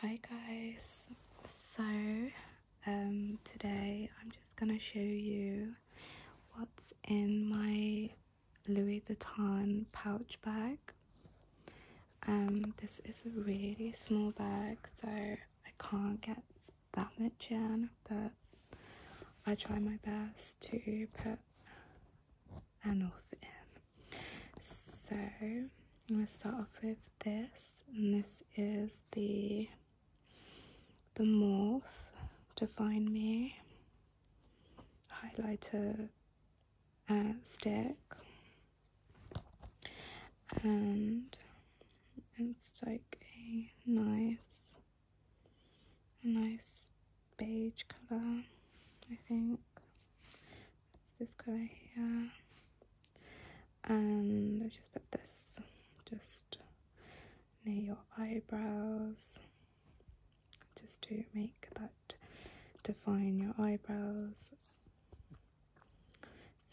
Hi guys, so um, today I'm just going to show you what's in my Louis Vuitton pouch bag. Um, this is a really small bag so I can't get that much in but I try my best to put enough in. So I'm gonna start off with this, and this is the the morph Define Me highlighter uh, stick, and it's like a nice, nice beige color, I think. It's this color here. And I just put this just near your eyebrows just to make that define your eyebrows.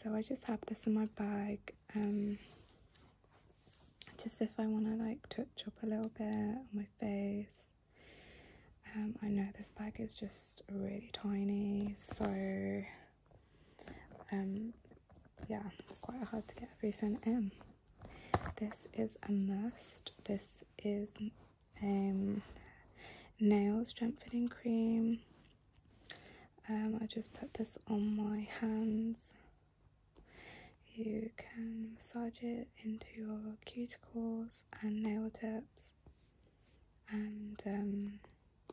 So I just have this in my bag. Um, just if I want to like touch up a little bit on my face um, I know this bag is just really tiny, so um, yeah, it's quite hard to get everything in. This is a must. This is um, nails strengthening cream. Um, I just put this on my hands. You can massage it into your cuticles and nail tips and um,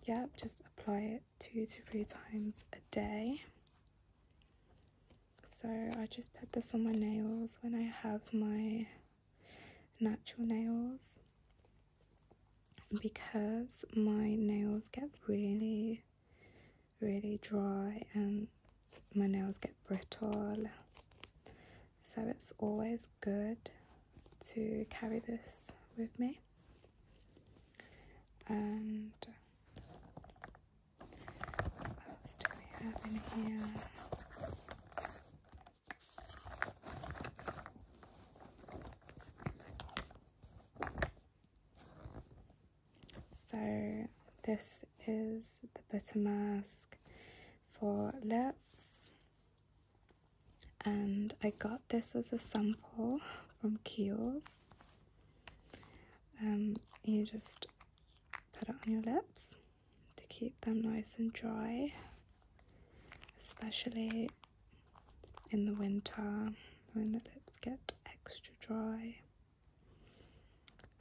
yeah, just apply it two to three times a day. So I just put this on my nails when I have my natural nails because my nails get really, really dry and my nails get brittle so it's always good to carry this with me. And what else do we have in here? So this is the butter mask for lips and I got this as a sample from Kiehl's. Um, you just put it on your lips to keep them nice and dry, especially in the winter when the lips get extra dry.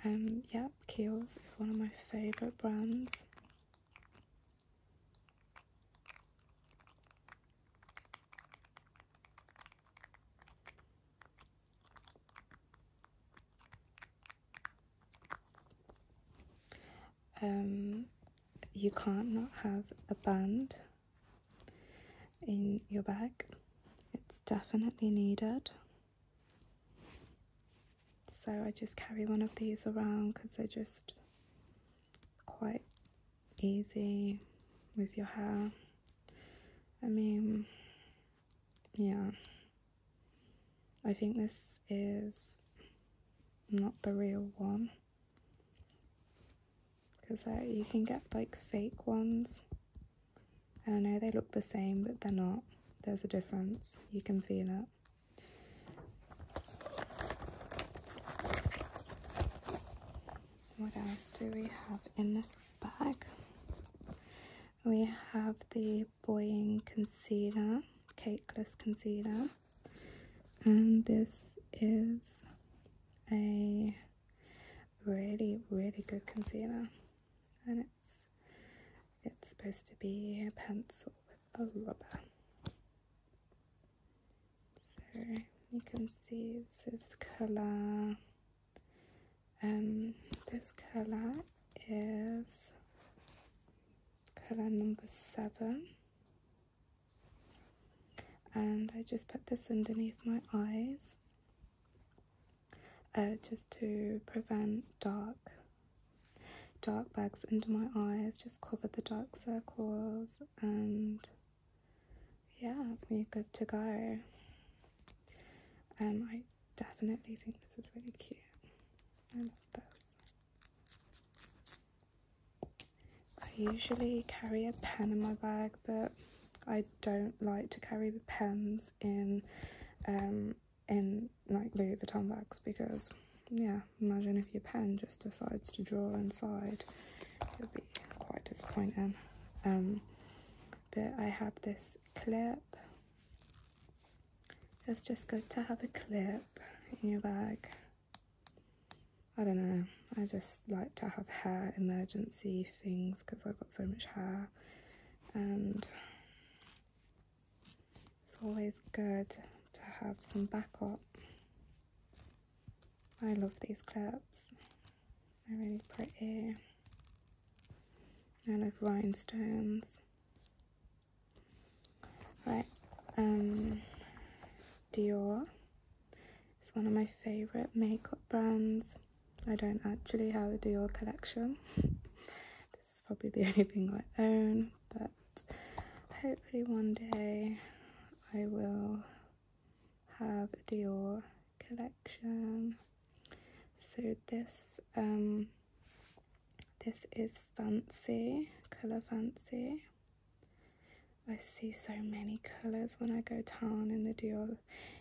And um, yeah, Kiehl's is one of my favourite brands. Um, you can't not have a band in your bag. It's definitely needed so I just carry one of these around because they're just quite easy with your hair I mean yeah I think this is not the real one because you can get like fake ones and I know they look the same but they're not there's a difference you can feel it what else do we have in this bag? We have the Boying concealer, cakeless concealer, and this is a really, really good concealer, it's supposed to be a pencil with a rubber. So you can see this is color. Um, this color is color number seven. And I just put this underneath my eyes uh, just to prevent dark dark bags under my eyes just covered the dark circles and yeah we're good to go um i definitely think this is really cute i love this i usually carry a pen in my bag but i don't like to carry pens in um in like leave the bags because yeah, imagine if your pen just decides to draw inside. It would be quite disappointing. Um, but I have this clip. It's just good to have a clip in your bag. I don't know. I just like to have hair emergency things because I've got so much hair. And it's always good to have some backup. I love these clips. They're really pretty. I love rhinestones. Right, um, Dior is one of my favourite makeup brands. I don't actually have a Dior collection. This is probably the only thing I own, but hopefully one day I will have a Dior collection. So this um this is fancy, colour fancy. I see so many colours when I go town in the Dior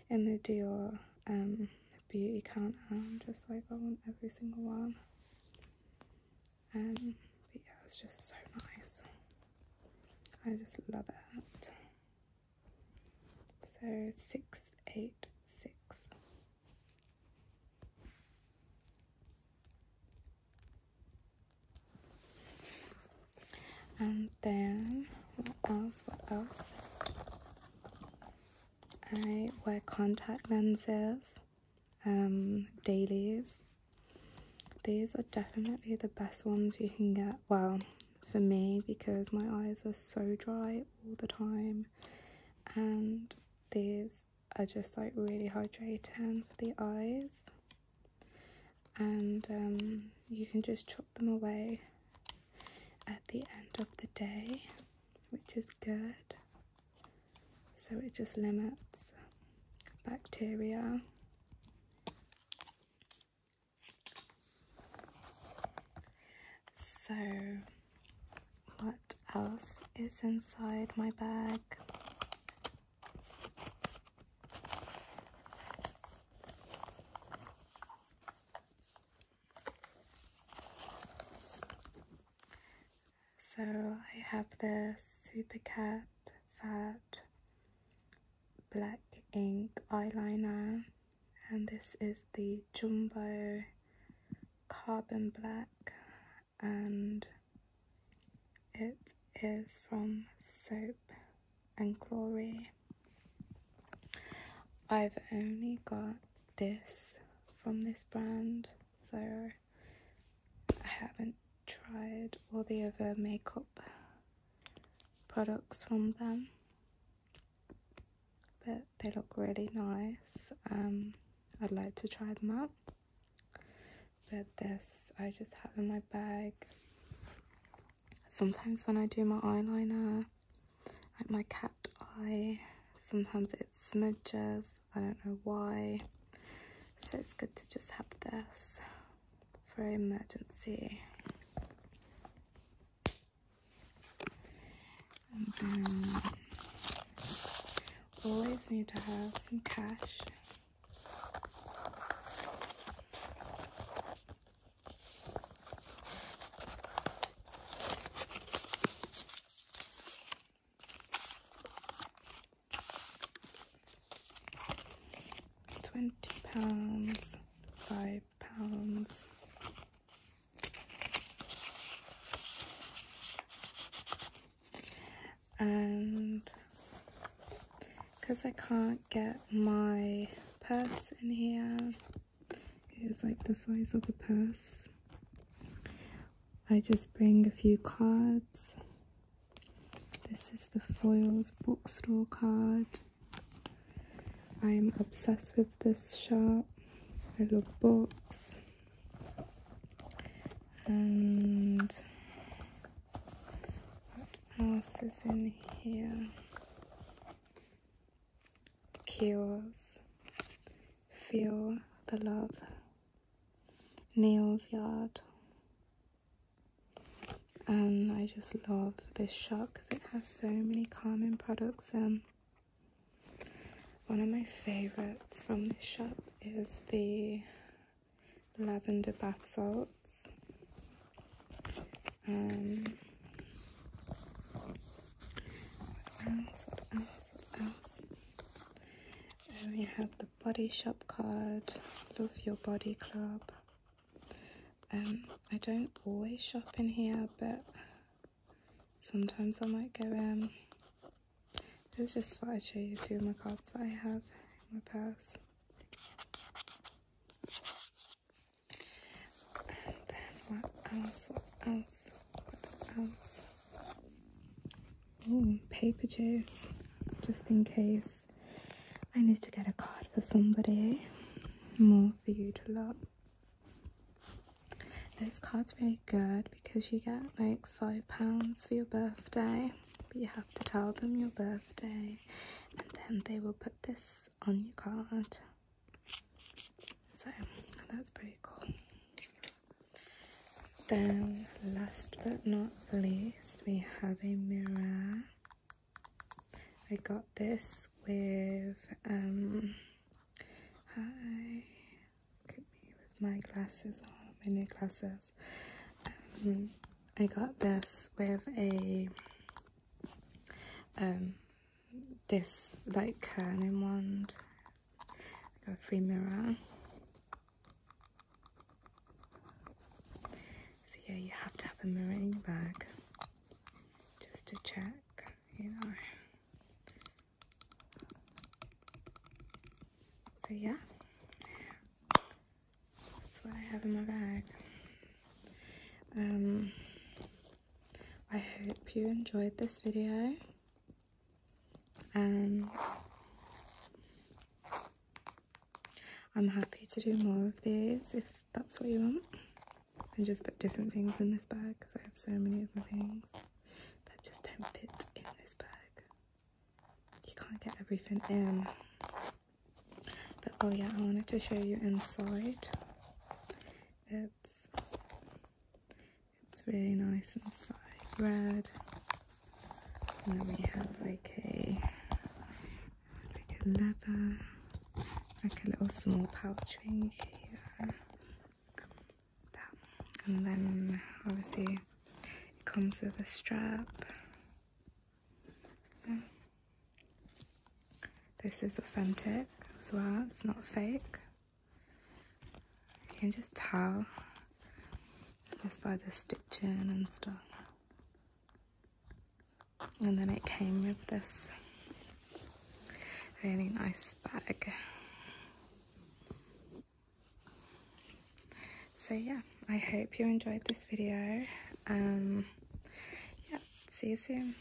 in the Dior um beauty countdown, um, just like I want every single one. and um, yeah, it's just so nice. I just love it. So six, eight, six. And then what else? What else? I wear contact lenses, um, dailies. These are definitely the best ones you can get. Well, for me, because my eyes are so dry all the time, and these are just like really hydrating for the eyes. And um, you can just chop them away at the end of the day, which is good so it just limits bacteria so what else is inside my bag so I have this Cat Fat Black Ink Eyeliner and this is the Jumbo Carbon Black and it is from Soap and Glory. I've only got this from this brand, so I haven't tried all the other makeup products from them. But they look really nice. Um, I'd like to try them out. But this I just have in my bag. Sometimes when I do my eyeliner, like my cat eye, sometimes it smudges, I don't know why. So it's good to just have this for emergency. And then always need to have some cash. Twenty pounds, five pounds. And because I can't get my purse in here, it is like the size of a purse. I just bring a few cards. This is the Foils bookstore card. I'm obsessed with this shop. I love books. And what else is in here? Kills. Feel the love. Neil's Yard. And I just love this shop because it has so many calming products. Um, one of my favorites from this shop is the lavender bath salts. Um, and we have the Body Shop card, Love Your Body Club. Um, I don't always shop in here, but sometimes I might go in. It's just thought I'd show you a few of my cards that I have in my purse. And then what else, what else? oh, paper chase, just in case I need to get a card for somebody. Eh? More for you to love. This card's really good because you get like five pounds for your birthday, but you have to tell them your birthday, and then they will put this on your card. So that's pretty cool. Then, last but not least, we have a mirror. I got this with, um, hi, with my glasses on, my new glasses. Um, I got this with a, um, this like curling wand, got a free mirror. So yeah, you have to have a mirror in your bag just to check, you know. So yeah, that's what I have in my bag. Um, I hope you enjoyed this video and I'm happy to do more of these if that's what you want and just put different things in this bag because I have so many other things that just don't fit in this bag you can't get everything in but oh yeah I wanted to show you inside it's it's really nice inside red. And then we have like a like a leather, like a little small pouch thing here. And then obviously it comes with a strap. This is authentic as well, it's not fake. You can just tell just by the stitching and stuff. And then it came with this really nice bag. So yeah, I hope you enjoyed this video. Um, yeah, see you soon.